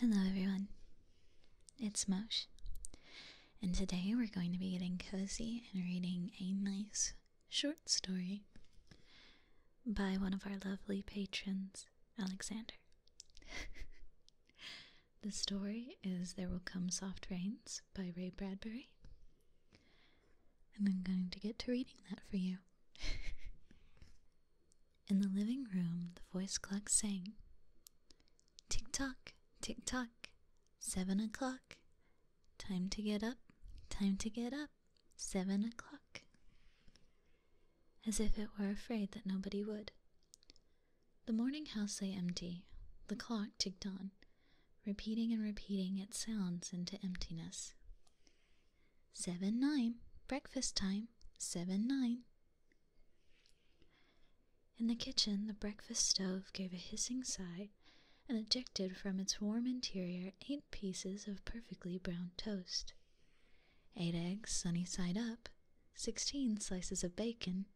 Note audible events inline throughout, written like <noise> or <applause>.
Hello everyone, it's Mosh, and today we're going to be getting cozy and reading a nice short story by one of our lovely patrons, Alexander. <laughs> the story is There Will Come Soft Rains by Ray Bradbury, and I'm going to get to reading that for you. <laughs> In the living room, the voice clock sang Tick tock, tick tock, seven o'clock. Time to get up, time to get up, seven o'clock. As if it were afraid that nobody would. The morning house lay empty. The clock ticked on, repeating and repeating its sounds into emptiness. Seven nine, breakfast time, seven nine. In the kitchen, the breakfast stove gave a hissing sigh and ejected from its warm interior eight pieces of perfectly brown toast, eight eggs sunny side up, sixteen slices of bacon,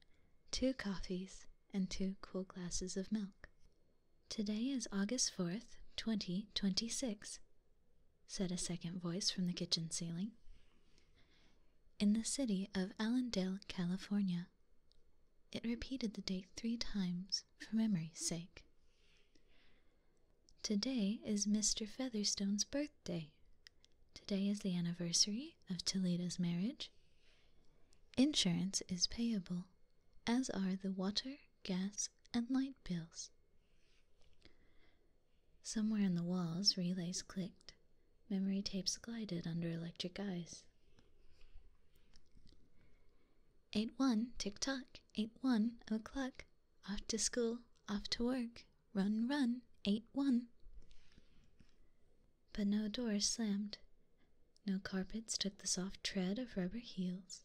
two coffees, and two cool glasses of milk. Today is August 4th, 2026 said a second voice from the kitchen ceiling. In the city of Allendale, California. It repeated the date three times for memory's sake. Today is Mr. Featherstone's birthday. Today is the anniversary of Toledo's marriage. Insurance is payable, as are the water, gas, and light bills. Somewhere in the walls, relays clicked. Memory tapes glided under electric eyes. 8 1, tick tock, 8 1 o'clock. Off to school, off to work. Run, run, 8 1. But no doors slammed. No carpets took the soft tread of rubber heels.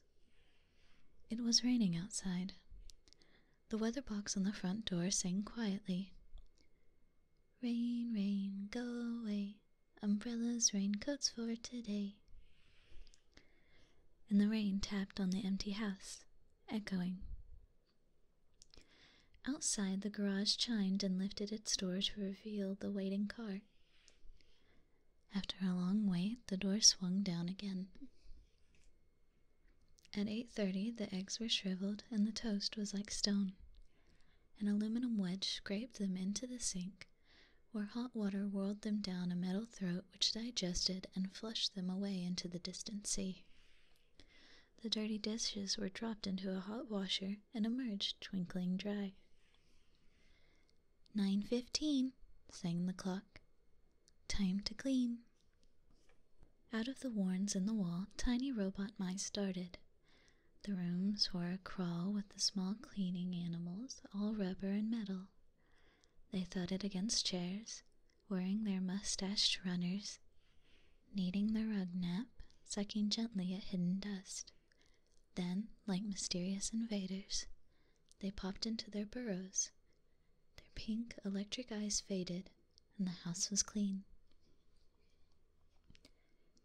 It was raining outside. The weather box on the front door sang quietly. Rain, rain, go away. Umbrellas, raincoats for today. And the rain tapped on the empty house, echoing. Outside, the garage chimed and lifted its door to reveal the waiting car. After a long wait, the door swung down again. At 8:30 the eggs were shriveled and the toast was like stone. An aluminum wedge scraped them into the sink, where hot water whirled them down a metal throat which digested and flushed them away into the distant sea. The dirty dishes were dropped into a hot washer and emerged twinkling dry. Nine fifteen, sang the clock. Time to clean. Out of the warrens in the wall, tiny robot mice started. The rooms were a crawl with the small cleaning animals, all rubber and metal. They thudded against chairs, wearing their mustached runners, kneading the rug nap, sucking gently at hidden dust. Then, like mysterious invaders, they popped into their burrows, their pink electric eyes faded, and the house was clean.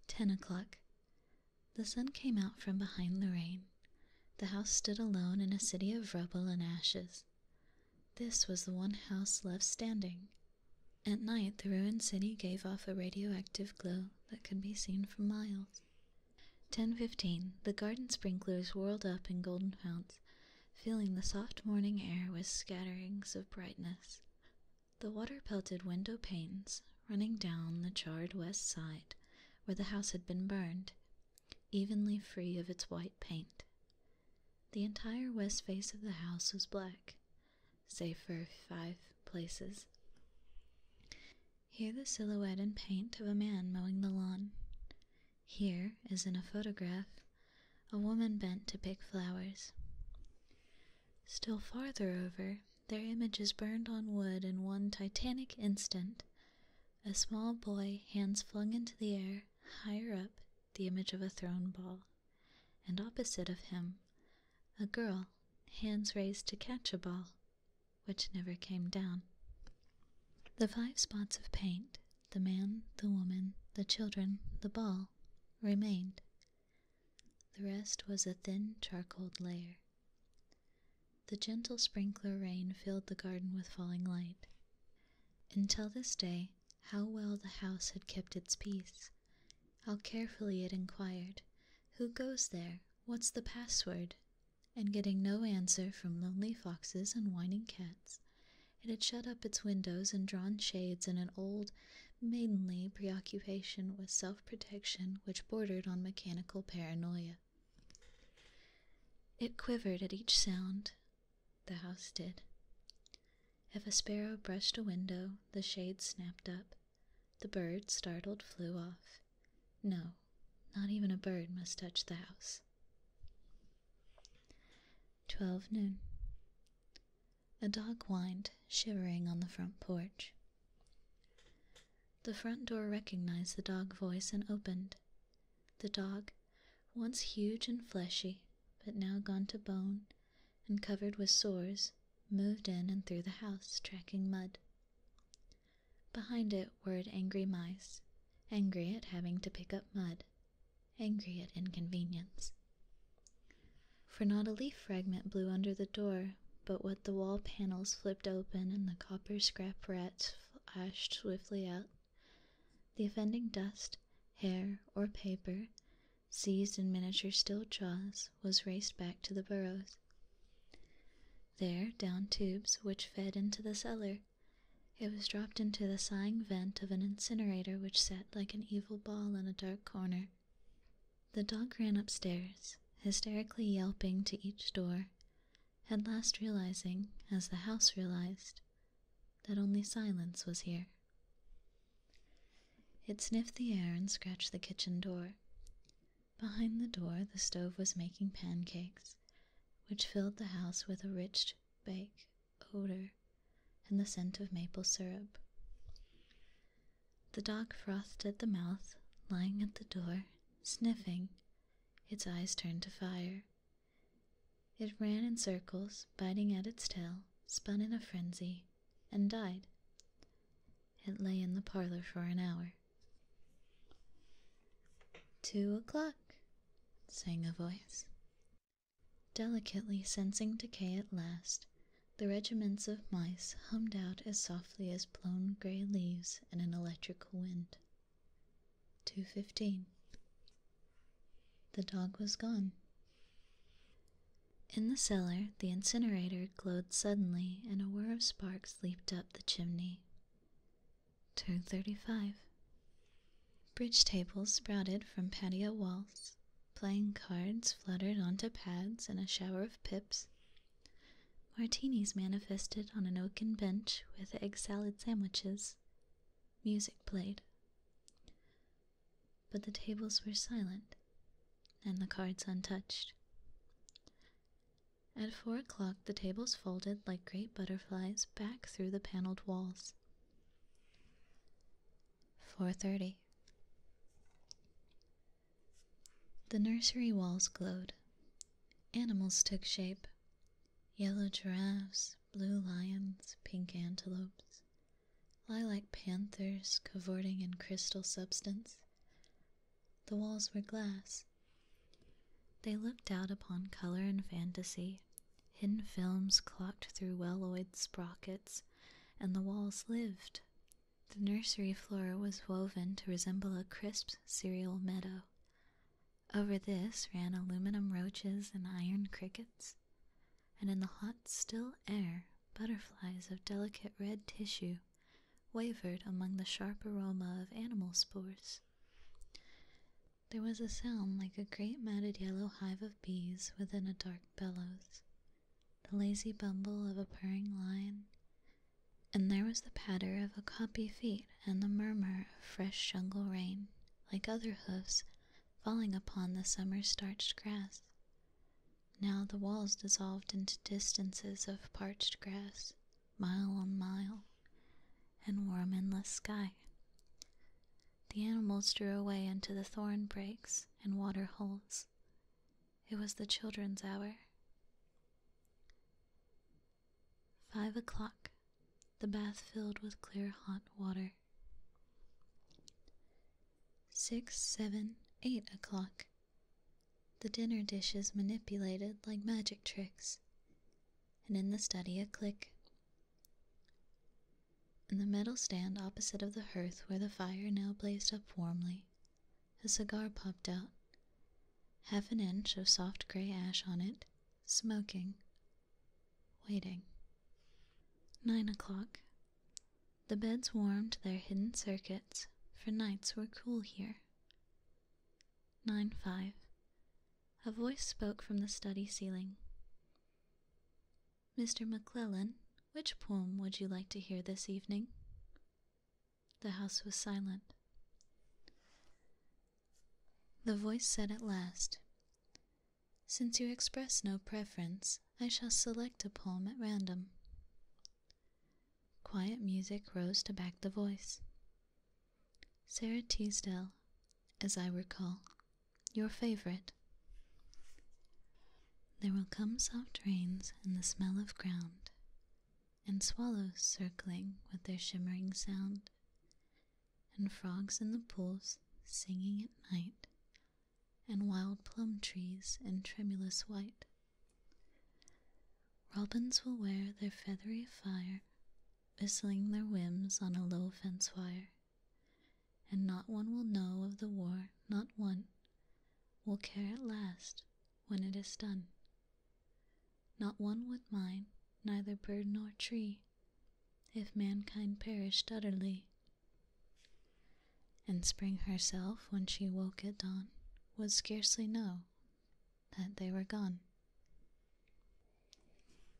Ten o'clock. The sun came out from behind the rain. The house stood alone in a city of rubble and ashes. This was the one house left standing. At night, the ruined city gave off a radioactive glow that could be seen for miles. 10:15 the garden sprinklers whirled up in golden founts filling the soft morning air with scatterings of brightness. The water pelted window panes, running down the charred west side where the house had been burned, evenly free of its white paint. The entire west face of the house was black, save for five places. Here the silhouette and paint of a man mowing the lawn. Here is in a photograph, a woman bent to pick flowers. Still farther over, their image is burned on wood in one titanic instant. A small boy, hands flung into the air, higher up, the image of a thrown ball. And opposite of him, a girl, hands raised to catch a ball, which never came down. The five spots of paint, the man, the woman, the children, the ball, remained. The rest was a thin charcoaled layer. The gentle sprinkler rain filled the garden with falling light. Until this day, how well the house had kept its peace. How carefully it inquired, Who goes there? What's the password? and getting no answer from lonely foxes and whining cats, it had shut up its windows and drawn shades in an old, maidenly preoccupation with self protection which bordered on mechanical paranoia. It quivered at each sound, the house did. If a sparrow brushed a window, the shade snapped up. The bird, startled, flew off. No, not even a bird must touch the house. Twelve noon. A dog whined, shivering on the front porch. The front door recognized the dog voice and opened. The dog, once huge and fleshy, but now gone to bone and covered with sores, moved in and through the house, tracking mud. Behind it whirred angry mice, angry at having to pick up mud, angry at inconvenience. For not a leaf fragment blew under the door, but what the wall panels flipped open and the copper scrap rats flashed swiftly out. The offending dust, hair, or paper, seized in miniature steel jaws, was raced back to the burrows. There, down tubes which fed into the cellar, it was dropped into the sighing vent of an incinerator which sat like an evil ball in a dark corner. The dog ran upstairs, hysterically yelping to each door, at last realizing, as the house realized, that only silence was here. It sniffed the air and scratched the kitchen door. Behind the door, the stove was making pancakes, which filled the house with a rich bake odor and the scent of maple syrup. The dog frothed at the mouth, lying at the door, sniffing, its eyes turned to fire. It ran in circles, biting at its tail, spun in a frenzy, and died. It lay in the parlor for an hour. Two o'clock, sang a voice. Delicately sensing decay at last, the regiments of mice hummed out as softly as blown gray leaves in an electrical wind. 2.15 The dog was gone. In the cellar, the incinerator glowed suddenly and a whir of sparks leaped up the chimney. Turn 35. Bridge tables sprouted from patio walls, playing cards fluttered onto pads in a shower of pips. Martinis manifested on an oaken bench with egg salad sandwiches. Music played. But the tables were silent, and the cards untouched. At four o'clock, the tables folded like great butterflies back through the paneled walls. 4:30 The nursery walls glowed. Animals took shape. Yellow giraffes, blue lions, pink antelopes, lie like panthers cavorting in crystal substance. The walls were glass, they looked out upon color and fantasy. Hidden films clocked through well-oiled sprockets, and the walls lived. The nursery floor was woven to resemble a crisp cereal meadow. Over this ran aluminum roaches and iron crickets, and in the hot, still air, butterflies of delicate red tissue wavered among the sharp aroma of animal spores. There was a sound like a great matted yellow hive of bees within a dark bellows, the lazy bumble of a purring lion, and there was the patter of a copy feet and the murmur of fresh jungle rain, like other hoofs falling upon the summer starched grass. Now the walls dissolved into distances of parched grass, mile on mile, and warm endless sky. The animals drew away into the thorn brakes and water holes. It was the children's hour. Five o'clock, the bath filled with clear hot water. Six, seven, eight o'clock. The dinner dishes manipulated like magic tricks and in the study a click. In the metal stand opposite of the hearth where the fire now blazed up warmly, a cigar popped out, half an inch of soft gray ash on it, smoking, waiting. Nine o'clock. The beds warmed their hidden circuits, for nights were cool here. Nine five. A voice spoke from the study ceiling. Mr. McClellan, which poem would you like to hear this evening? The house was silent. The voice said at last, Since you express no preference, I shall select a poem at random. Quiet music rose to back the voice. Sarah Teasdale, as I recall, your favorite. There will come soft rains and the smell of ground, and swallows circling with their shimmering sound, and frogs in the pools singing at night, and wild plum trees in tremulous white. Robins will wear their feathery fire whistling their whims on a low fence wire. And not one will know of the war, not one will care at last when it is done. Not one would mind, neither bird nor tree, if mankind perished utterly. And spring herself, when she woke at dawn, would scarcely know that they were gone.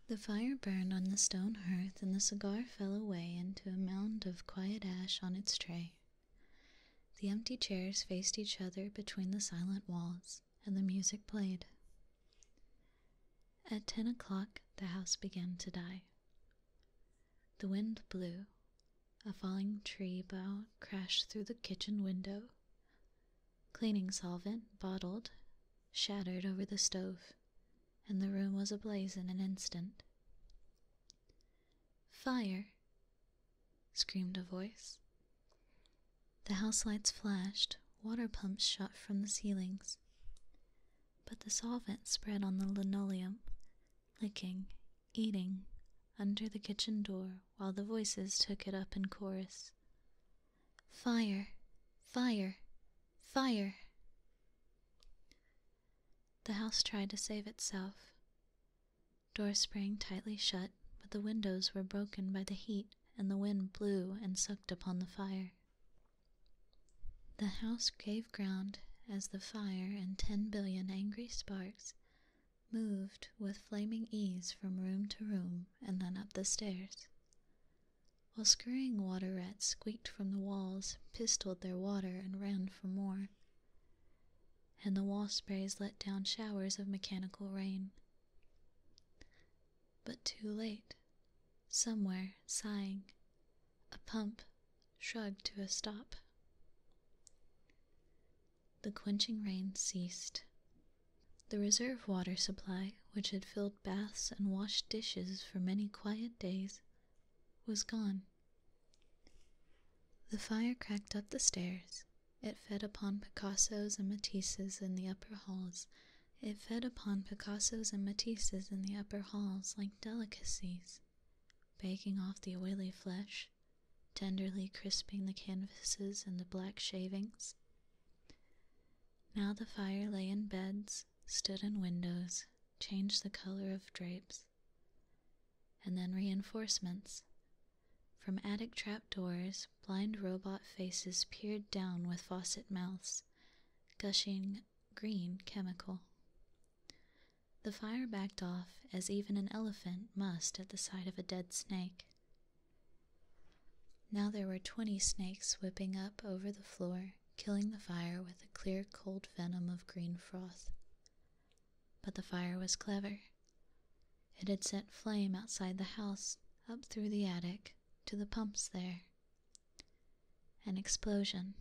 The fire burned on the stone hearth, and the cigar fell away into a mound of quiet ash on its tray. The empty chairs faced each other between the silent walls, and the music played. At ten o'clock, the house began to die. The wind blew. A falling tree bough crashed through the kitchen window. Cleaning solvent, bottled, shattered over the stove, and the room was ablaze in an instant. Fire! screamed a voice. The house lights flashed, water pumps shot from the ceilings, but the solvent spread on the linoleum, licking, eating, under the kitchen door while the voices took it up in chorus. Fire, fire, fire! The house tried to save itself. Doors sprang tightly shut, but the windows were broken by the heat, and the wind blew and sucked upon the fire. The house gave ground as the fire and ten billion angry sparks moved with flaming ease from room to room and then up the stairs. While scurrying water rats squeaked from the walls, pistoled their water, and ran for more. And the wall sprays let down showers of mechanical rain. But too late. Somewhere, sighing, a pump shrugged to a stop. The quenching rain ceased. The reserve water supply, which had filled baths and washed dishes for many quiet days, was gone. The fire cracked up the stairs. It fed upon Picassos and Matisses in the upper halls. It fed upon Picassos and Matisses in the upper halls like delicacies, baking off the oily flesh, tenderly crisping the canvases and the black shavings. Now the fire lay in beds, stood in windows, changed the color of drapes. And then reinforcements. From attic trap doors, blind robot faces peered down with faucet mouths, gushing green chemical. The fire backed off as even an elephant must at the sight of a dead snake, now there were twenty snakes whipping up over the floor, killing the fire with a clear, cold venom of green froth. But the fire was clever. It had sent flame outside the house, up through the attic, to the pumps there. An explosion.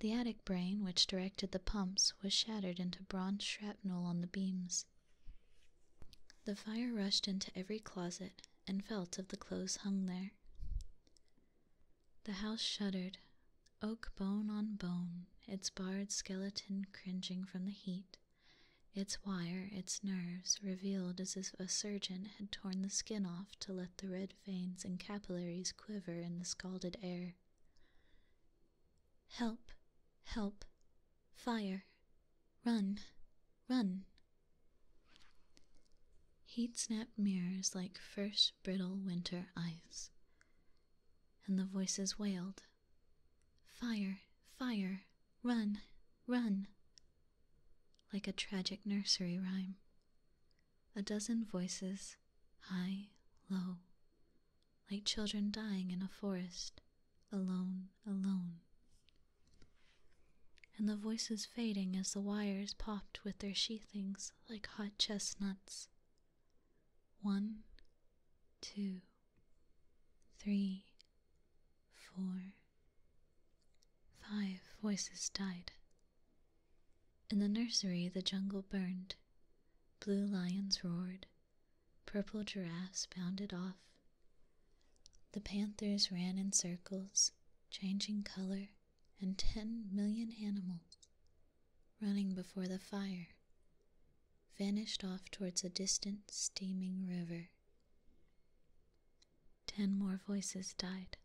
The attic brain, which directed the pumps, was shattered into bronze shrapnel on the beams. The fire rushed into every closet and felt of the clothes hung there. The house shuddered, oak bone on bone, its barred skeleton cringing from the heat, its wire, its nerves, revealed as if a surgeon had torn the skin off to let the red veins and capillaries quiver in the scalded air. Help, help, fire, run, run. Heat snapped mirrors like first brittle winter ice, and the voices wailed, Fire, fire, run, run, like a tragic nursery rhyme. A dozen voices, high, low, like children dying in a forest, alone, alone. And the voices fading as the wires popped with their sheathings like hot chestnuts. One, two, three, four, five voices died. In the nursery, the jungle burned, blue lions roared, Purple giraffes bounded off. The panthers ran in circles, changing color, and ten million animals, running before the fire, vanished off towards a distant, steaming river. Ten more voices died.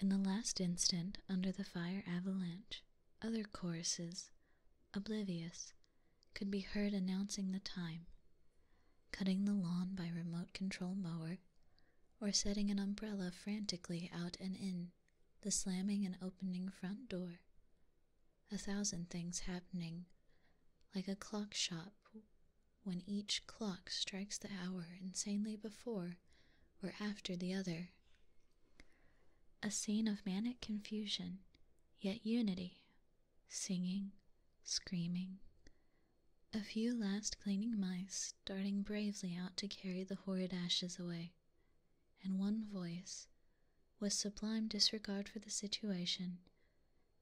In the last instant, under the fire avalanche, other choruses, oblivious, could be heard announcing the time, cutting the lawn by remote control mower, or setting an umbrella frantically out and in, the slamming and opening front door. A thousand things happening, like a clock shop when each clock strikes the hour insanely before or after the other. A scene of manic confusion yet unity, singing, screaming. A few last cleaning mice darting bravely out to carry the horrid ashes away, and one voice, with sublime disregard for the situation,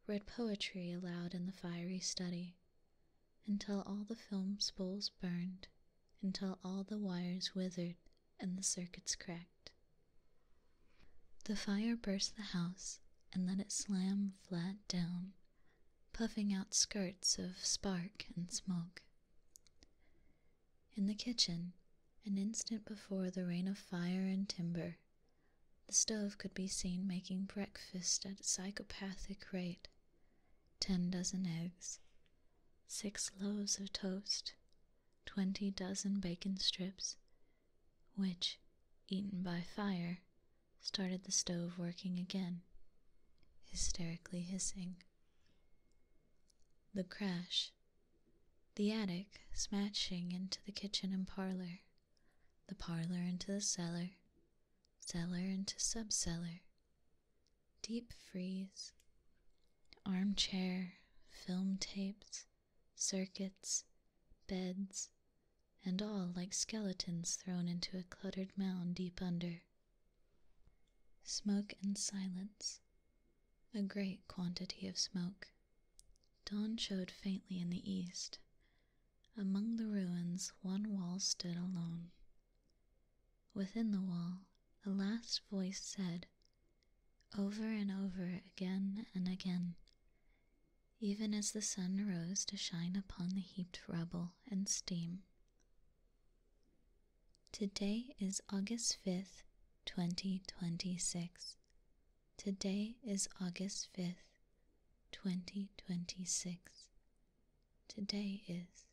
read poetry aloud in the fiery study, until all the film spools burned, until all the wires withered and the circuits cracked. The fire burst the house and let it slam flat down, puffing out skirts of spark and smoke. In the kitchen, an instant before the rain of fire and timber, the stove could be seen making breakfast at psychopathic rate ten dozen eggs, six loaves of toast, twenty dozen bacon strips, which, eaten by fire, started the stove working again, hysterically hissing. The crash. The attic smashing into the kitchen and parlor, the parlor into the cellar, cellar into subcellar. Deep freeze armchair, film tapes, circuits, beds, and all like skeletons thrown into a cluttered mound deep under. Smoke and silence. A great quantity of smoke. Dawn showed faintly in the east. Among the ruins, one wall stood alone. Within the wall, a last voice said, over and over again and again, even as the sun rose to shine upon the heaped rubble and steam. Today is August 5th, 2026. Today is August 5th, 2026. Today is.